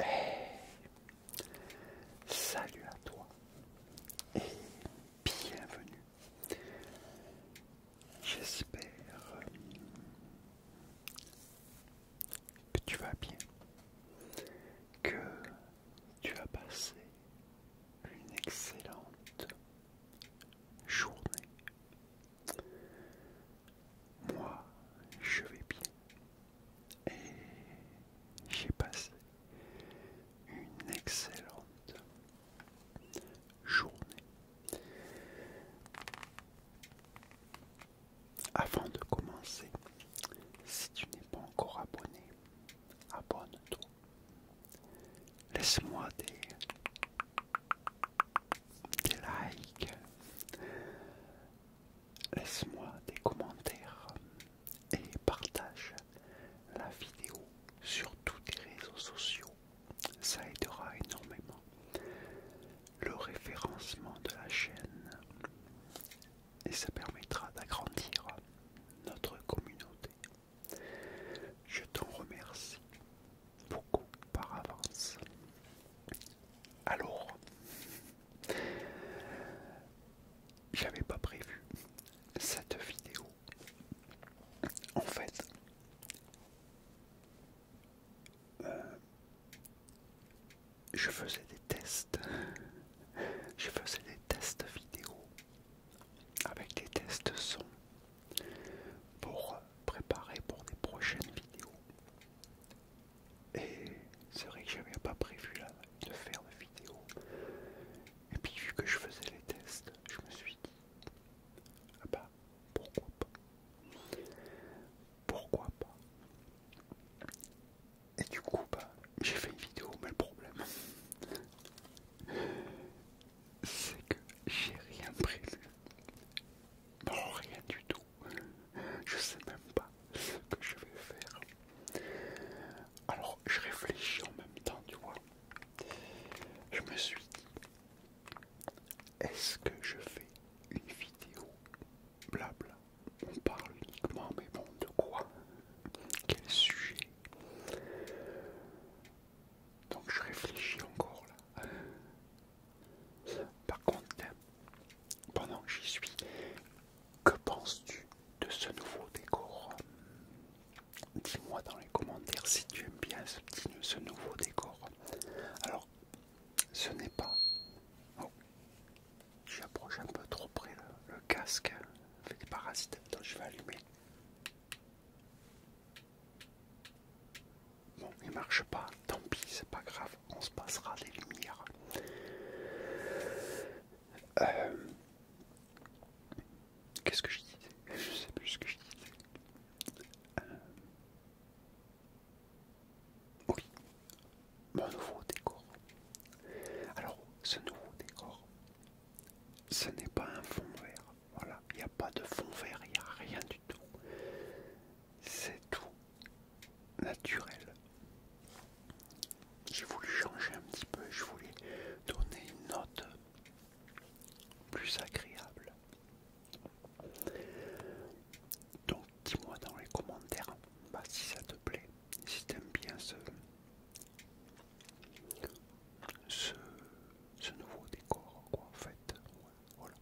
Eh, salut à toi et bienvenue. J'espère que tu vas bien, que tu as passé une excellente journée moi, je vais bien et j'ai passé une excellente journée. Avant de commencer, si tu n'es pas encore abonné, abonne-toi Laisse-moi des, likes. Laisse-moi des commentaires et partage la vidéo sur tous les réseaux sociaux. Ça aidera énormément le référencement de la chaîne et ça permettra d'agrandir notre communauté. Je t'en remercie beaucoup par avance. Alors, j'avais pas prévu cette vidéo. En fait, euh, je faisais des tests. Je faisais des tests vidéo avec des tests son pour préparer pour des prochaines vidéos. Et c'est vrai que j'avais pas prévu là, de faire de vidéo. Et puis vu que je faisais les tests, je me suis dit, ah bah pourquoi pas Pourquoi pas Et du coup bah j'ai fait une vidéo, mais le problème c'est que j'ai rien prévu. bon rien du tout. Je sais même pas ce que je vais faire. Alors, je réfléchis en même temps, tu vois. Je me suis dit, est-ce que je fais une vidéo Blabla. On parle uniquement, mais bon, de quoi Quel sujet donc je réfléchis encore là. Par contre, pendant que j'y suis, que penses-tu de ce nouveau décor Dis-moi dans les commentaires si tu aimes bien ce, nouveau décor. Alors, ce n'est pas... Oh, j'approche un peu trop près le, casque hein. avec des parasites. Attends, je vais allumer. Bon, il marche pas, tant pis, c'est pas grave, on se passera des lumières. Euh, qu'est-ce que je disais Je sais plus ce que je disais. Euh, oui, mon nouveau décor. Alors, ce nouveau décor, ce n'est pas un fond vert. Voilà, il n'y a pas de fond vert, il n'y a rien du tout. C'est tout naturel. J'ai voulu changer un petit peu, je voulais donner une note plus agréable. Donc dis-moi dans les commentaires bah, si ça te plaît, si t'aimes bien ce, ce, ce nouveau décor, quoi, en fait. voilà.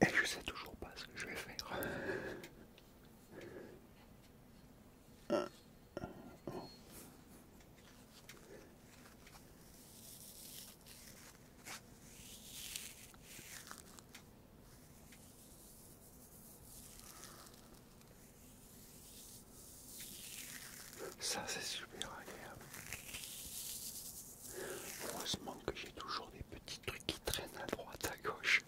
Et je sais toujours pas ce que je vais faire. Ça, c'est super agréable. Heureusement que j'ai toujours des petits trucs qui traînent à droite, à gauche.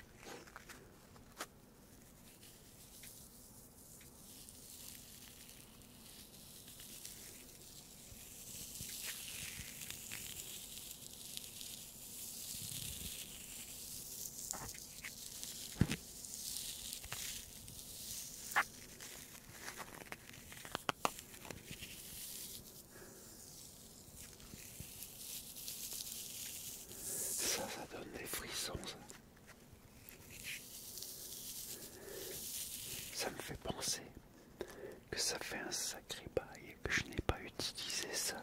Ça, ça donne des frissons. Ça. me fait penser que ça fait un sacré bail et que je n'ai pas utilisé ça.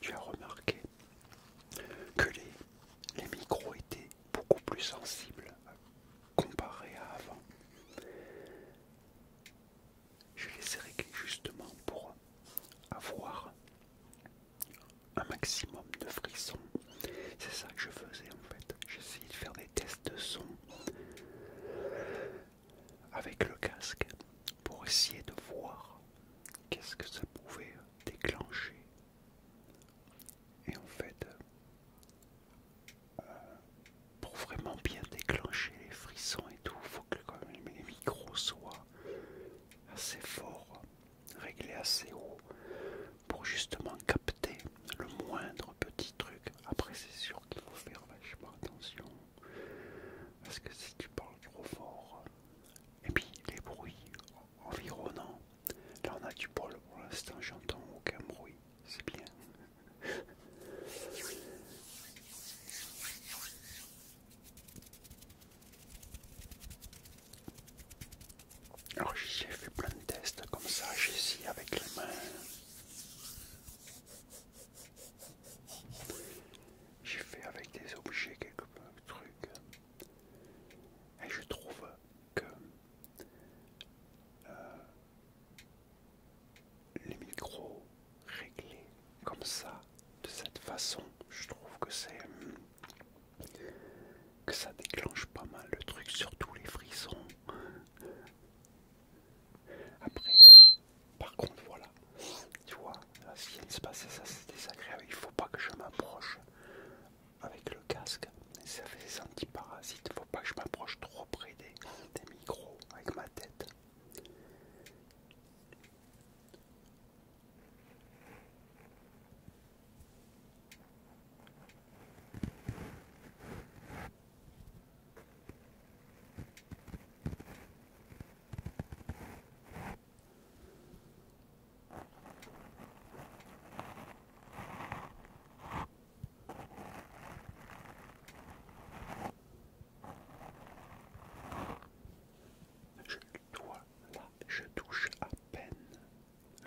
Tu as remarqué que les, les micros étaient beaucoup plus sensibles comparé à avant. Je les ai réglés justement pour avoir un maximum de frissons. C'est ça que je faisais en fait. J'essayais de faire des tests de son avec le casque pour essayer de voir qu'est-ce que ça pouvait déclencher Et en fait, euh, pour vraiment bien déclencher les frissons et tout, faut que quand les micros soient assez forts, réglés assez haut, pour justement capter le moindre petit truc. Après, c'est sûr qu'il faut faire vachement attention, parce que si tu parles trop fort, et puis les bruits environnants. Là on a du bol pour l'instant, j'entends aucun bruit, c'est bien. Alors j'ai fait plein de tests comme ça, j'ai essayé avec les mains. J'ai fait avec des objets quelques trucs. Et je trouve que euh, les micros réglés comme ça, de cette façon, je trouve que c'est hmm, que ça déclenche pas mal le truc, surtout les frissons. Après, par contre, voilà, tu vois, si elle se passer, ça c'est désagréable. Il faut pas que je m'approche avec le casque. Ça fait des antiparasites. Il faut pas que je m'approche trop près des micros avec ma tête. Je je touche à peine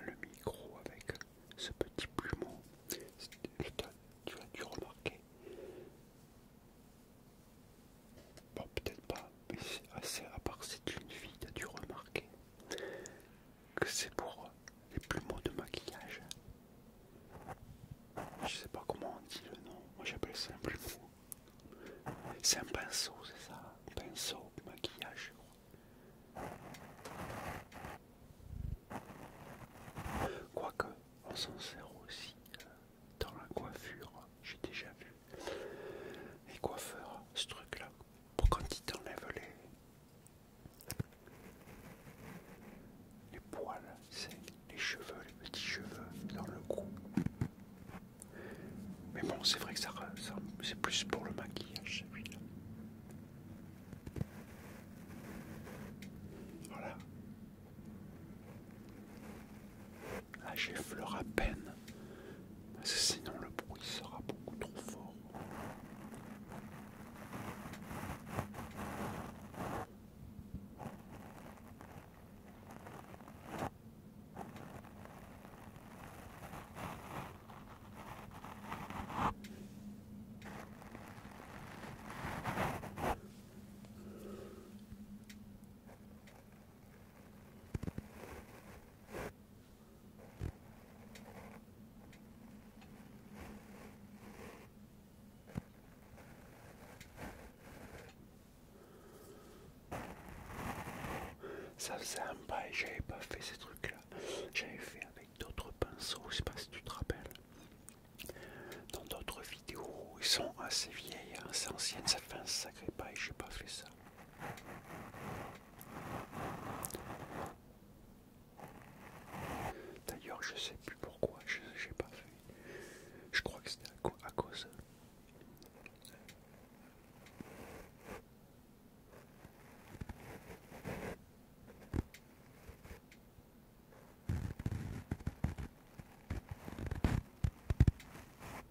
le micro avec ce petit plumeau. Tu as dû remarquer Bon, peut-être pas, mais assez, à part c'est une fille, tu as dû remarquer que c'est pour les plumeaux de maquillage. Je sais pas comment on dit le nom, moi j'appelle ça un plumeau. C'est un pinceau, c'est ça Un pinceau, maquillage, Quoique, on s'en sert aussi euh, dans la coiffure, j'ai déjà vu et coiffeurs, ce truc-là, pour quand il t'enlèvent les... les poils, c'est les cheveux, les petits cheveux dans le cou. Mais bon, c'est vrai que ça, c'est plus pour le maquillage, celui-là. Voilà. Ah, fleur à peine, sinon le bruit sera beaucoup trop fort. Ça faisait un bail, j'avais pas fait ces trucs-là. J'avais fait avec d'autres pinceaux, je sais pas si tu te rappelles. Dans d'autres vidéos, ils sont assez vieilles, assez hein, anciennes, ça fait un sacré bail, j'ai pas fait ça. D'ailleurs, je sais plus pourquoi, je n'ai pas fait. Je crois que c'était à cause.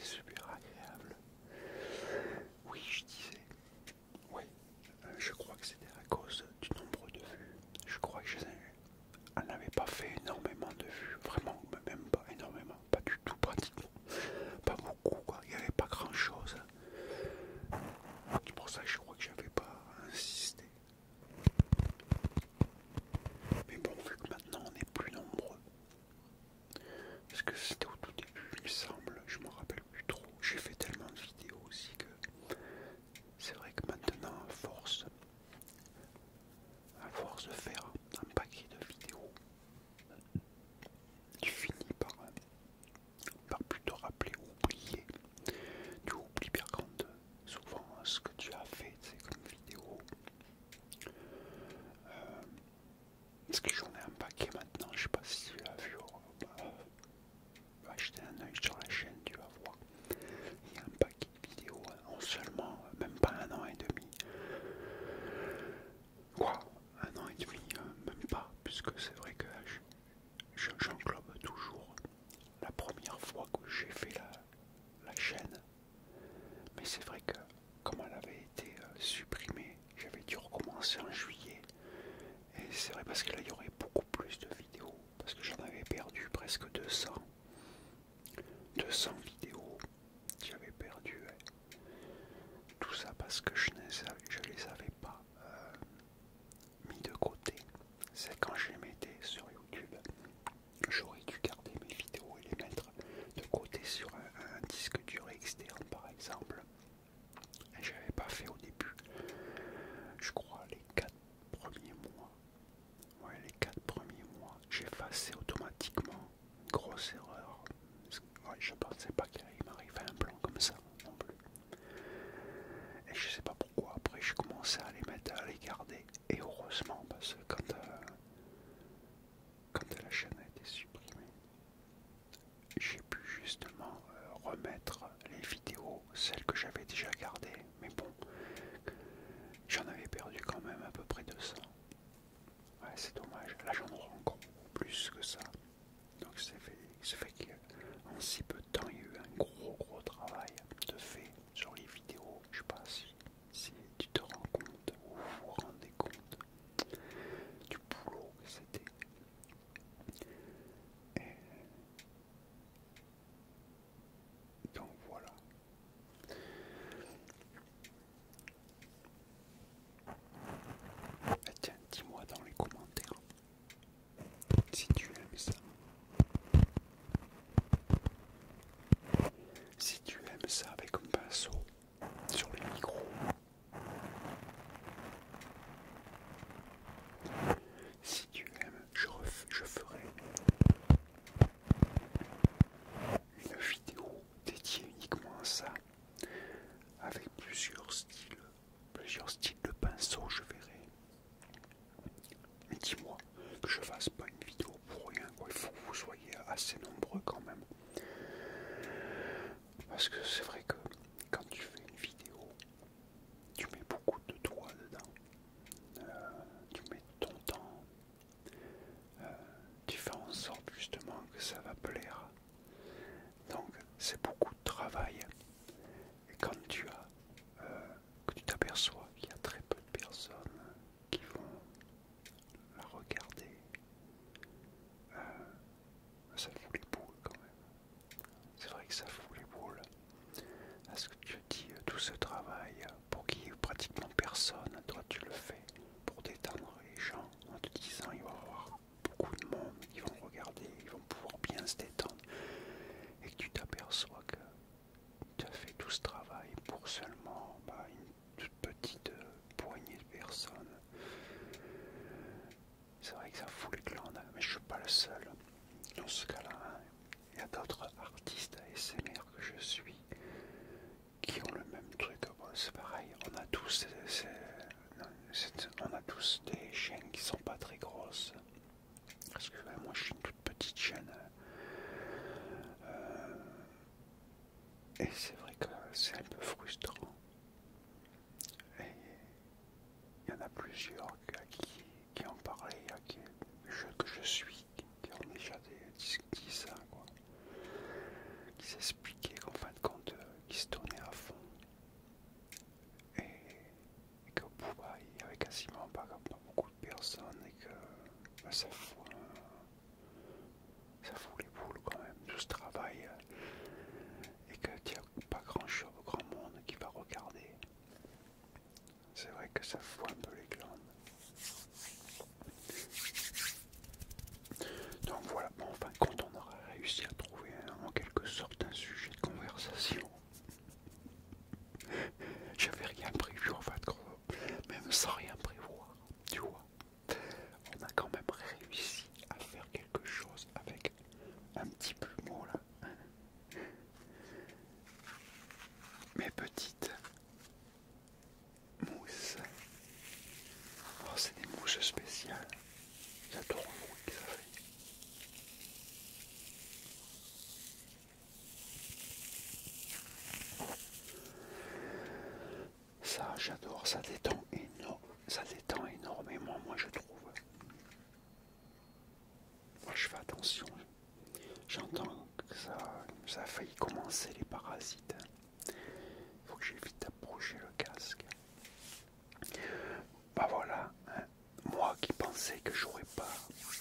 super agréable. Oui, je disais, oui, euh, je crois que c'était à cause du nombre de vues. Je crois que je elle n'avait pas fait énormément de vues, vraiment, même pas énormément, pas du tout pratiquement, pas beaucoup quoi, il n'y avait pas grand chose. C'est pour ça que je crois que j'avais pas insisté. Mais bon, vu que maintenant on est plus nombreux, parce que c'était au tout début, il semble, je me rappelle plus trop. J'ai fait tellement de vidéos aussi que c'est vrai que maintenant, à force, à force de faire un paquet de vidéos, tu finis par, par plus te rappeler ou oublier. Tu oublies bien quand souvent ce que tu as fait, c'est comme vidéo. Euh, est-ce que j'en ai un paquet maintenant, je sais pas si tu as vu. acheter un œil sur la chaîne, tu vas voir. Il y a un paquet de vidéos hein, en seulement, euh, même pas un an et demi. Quoi Un an et demi, euh, même pas, puisque c'est vrai que j'englobe toujours la première fois que j'ai fait la chaîne. Mais c'est vrai que comme elle avait été euh, supprimée j'avais dû recommencer en juillet. Et c'est vrai parce que là il y aurait beaucoup plus de vidéos, parce que j'en avais perdu presque 200. 200 vidéos, j'avais perdu. Tout ça parce que je ne les avais pas euh, mis de côté. C'est quand je les mettais sur YouTube, j'aurais dû garder mes vidéos et les mettre de côté sur un, un disque dur externe par exemple. Je n'avais pas fait au début, je crois, les 4 premiers mois. Ouais, les 4 premiers mois, j'effaçais automatiquement. Grosse erreur. je ne pensais pas qu'il m'arrivait un plan comme ça non plus. Et je sais pas pourquoi, après je commençais à les mettre, à les garder. Et heureusement, parce que quand, euh, quand la chaîne a été supprimée, j'ai pu justement euh, remettre les vidéos, celles que j'avais déjà gardées, mais bon, j'en avais perdu quand même à peu près 200. Ouais, c'est dommage, là j'en rends plus que ça. Donc ça fait, fait qu'en si peu de temps, il y a eu un gros gros travail de fait sur les vidéos. Je sais pas si, si tu te rends compte ou vous vous rendez compte du boulot que c'était donc voilà. Ah, tiens, dis-moi dans les commentaires si tu aimes ça. Si tu aimes ça avec un pinceau sur les micro. Si tu aimes, je, je ferai une vidéo dédiée uniquement à ça, avec plusieurs styles, plusieurs styles de pinceau, je verrai. Mais dis-moi que je fasse pas une vidéo pour rien, il faut que vous soyez assez nombreux quand même. Parce que c'est vrai que quand tu fais une vidéo, tu mets beaucoup de toi dedans. Euh, tu mets ton temps. Euh, tu fais en sorte justement que ça va plaire. Donc c'est beaucoup de travail. Et quand tu as, euh, que tu t'aperçois qu'il y a très peu de personnes qui vont la regarder, ah, ça fout les boules quand même. C'est vrai que ça fout les boules. Est-ce que tu dis euh, tout ce travail euh, pour qu'il n'y ait pratiquement personne Toi, tu le fais pour détendre les gens en te disant il va y avoir beaucoup de monde, ils vont regarder, ils vont pouvoir bien se détendre. Et que tu t'aperçois que tu as fait tout ce travail pour seulement bah, une toute petite euh, poignée de personnes. C'est vrai que ça fout les glandes, mais je suis pas le seul dans ce cas-là. Il y a d'autres artistes ASMR que je suis qui ont le même truc. c'est pareil, on a tous on a tous des chaînes qui sont pas très grosses. Parce que moi je suis une toute petite chaîne. Euh, et c'est vrai que c'est un peu frustrant. Et il y en a plusieurs qui, ont parlé, qui, je, que je suis, qui ont déjà dit ça, quoi. qui s'expliquaient qu'en fin de compte, qui se tournaient à fond. Et, que qu'au bout, bah, il n'y avait quasiment pas, beaucoup de personnes et que à bah, ça fois ça fout les boules quand même, tout ce travail, euh, et que tu a pas grand chose, grand monde qui va regarder. C'est vrai que ça fout un peu les glandes. Donc voilà, bon, enfin, quand on aurait réussi à trouver hein, en quelque sorte un sujet de conversation, j'avais rien prévu en fait, même sans rien prévoir, tu vois on a quand même réussi à faire quelque chose avec un petit plumeau là. Mes petites mousses. Oh, c'est des mousses spéciales. J'adore le bruit que ça fait. Ça, j'adore, ça détend énorme, ça détend énormément, moi je trouve. Moi je fais attention. J'entends que ça, a failli commencer les parasites. Il faut que j'évite d'approcher le casque. Bah voilà, hein. moi qui pensais que j'aurais pas,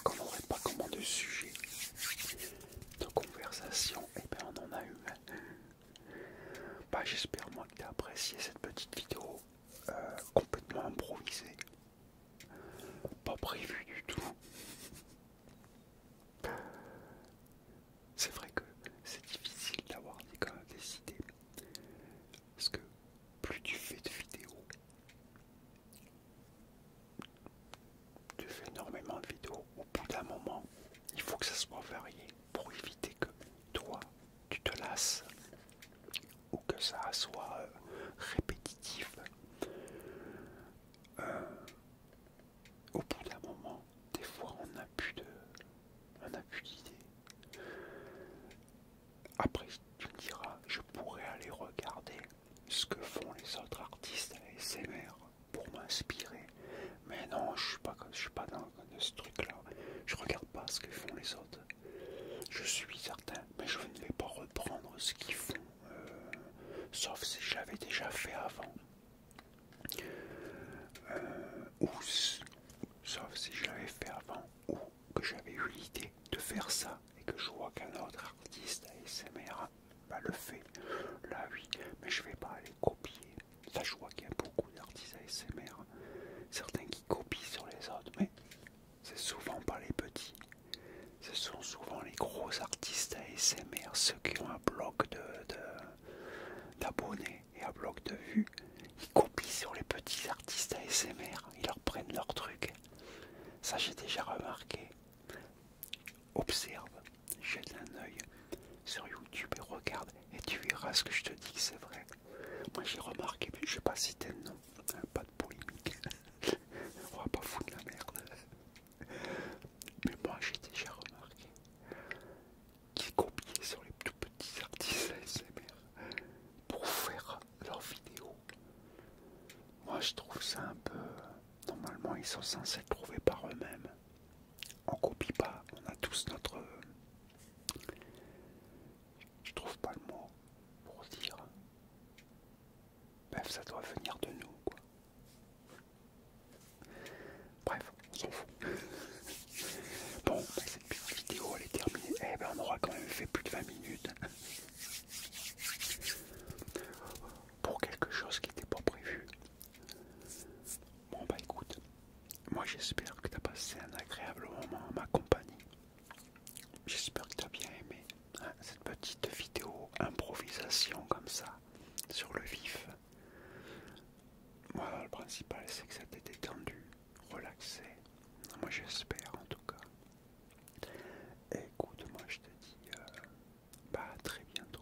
qu'on n'aurait pas comment de sujet de conversation, et eh bien on en a eu. Hein. Bah, j'espère moi que tu as apprécié cette petite vidéo euh, complètement improvisée. Pas prévue du tout. C'est vrai que c'est difficile d'avoir des idées. Parce que plus tu fais de vidéos, tu fais énormément de vidéos, au bout d'un moment, il faut que ça soit varié pour éviter que toi tu te lasses ou que ça soit euh, répétitif. Euh, au bout d'un moment, des fois on n'a plus d'idées. Après, tu me diras, je pourrais aller regarder ce que font les autres artistes à mères pour m'inspirer. Mais non, je suis pas, je suis pas dans ce truc-là. Je regarde pas ce que font les autres. Je suis certain, mais je ne vais pas reprendre ce qu'ils font, euh, sauf si j'avais déjà fait avant. Euh, ou sauf si j'avais fait avant, ou que j'avais eu l'idée de faire ça et que je vois qu'un autre artiste ASMR pas bah, le fait. Là oui, mais je vais pas aller copier je vois qu'il y a beaucoup d'artistes ASMR, certains qui copient sur les autres, mais c'est souvent pas les petits. Ce sont souvent les gros artistes ASMR, ceux qui ont un bloc d'abonnés de, et un bloc de vues. Ils copient sur les petits artistes ASMR, ils leur prennent leur truc. Ça, j'ai déjà remarqué. Observe, jette un œil sur YouTube et regarde et tu verras ce que je te dis, c'est vrai. Moi j'ai remarqué, mais je sais pas citer le nom, hein, pas de polémique, on va pas foutre la merde. Mais moi j'ai déjà remarqué qu'ils copiaient sur les tout petits artistes ASMR pour faire leurs vidéos. Moi je trouve ça un peu... Normalement ils sont censés le trouver par eux-mêmes on copie pas, on a tous notre... Je trouve pas le mot pour dire. Bref, ça doit venir de nous, quoi. Bref, on s'en fout. bon, bah, cette vidéo, elle est terminée. Eh ben, on aura quand même fait plus de 20 minutes. Pour quelque chose qui n'était pas prévu, Bon bah écoute, moi j'espère que tu as passé un agréable moment en ma compagnie. J'espère que tu as bien aimé hein, cette petite vidéo improvisation comme ça, sur le vif. Voilà, le principal c'est que ça t'ait détendu, relaxé. Moi j'espère en tout cas. écoute, moi je te dis euh, bah, à très bientôt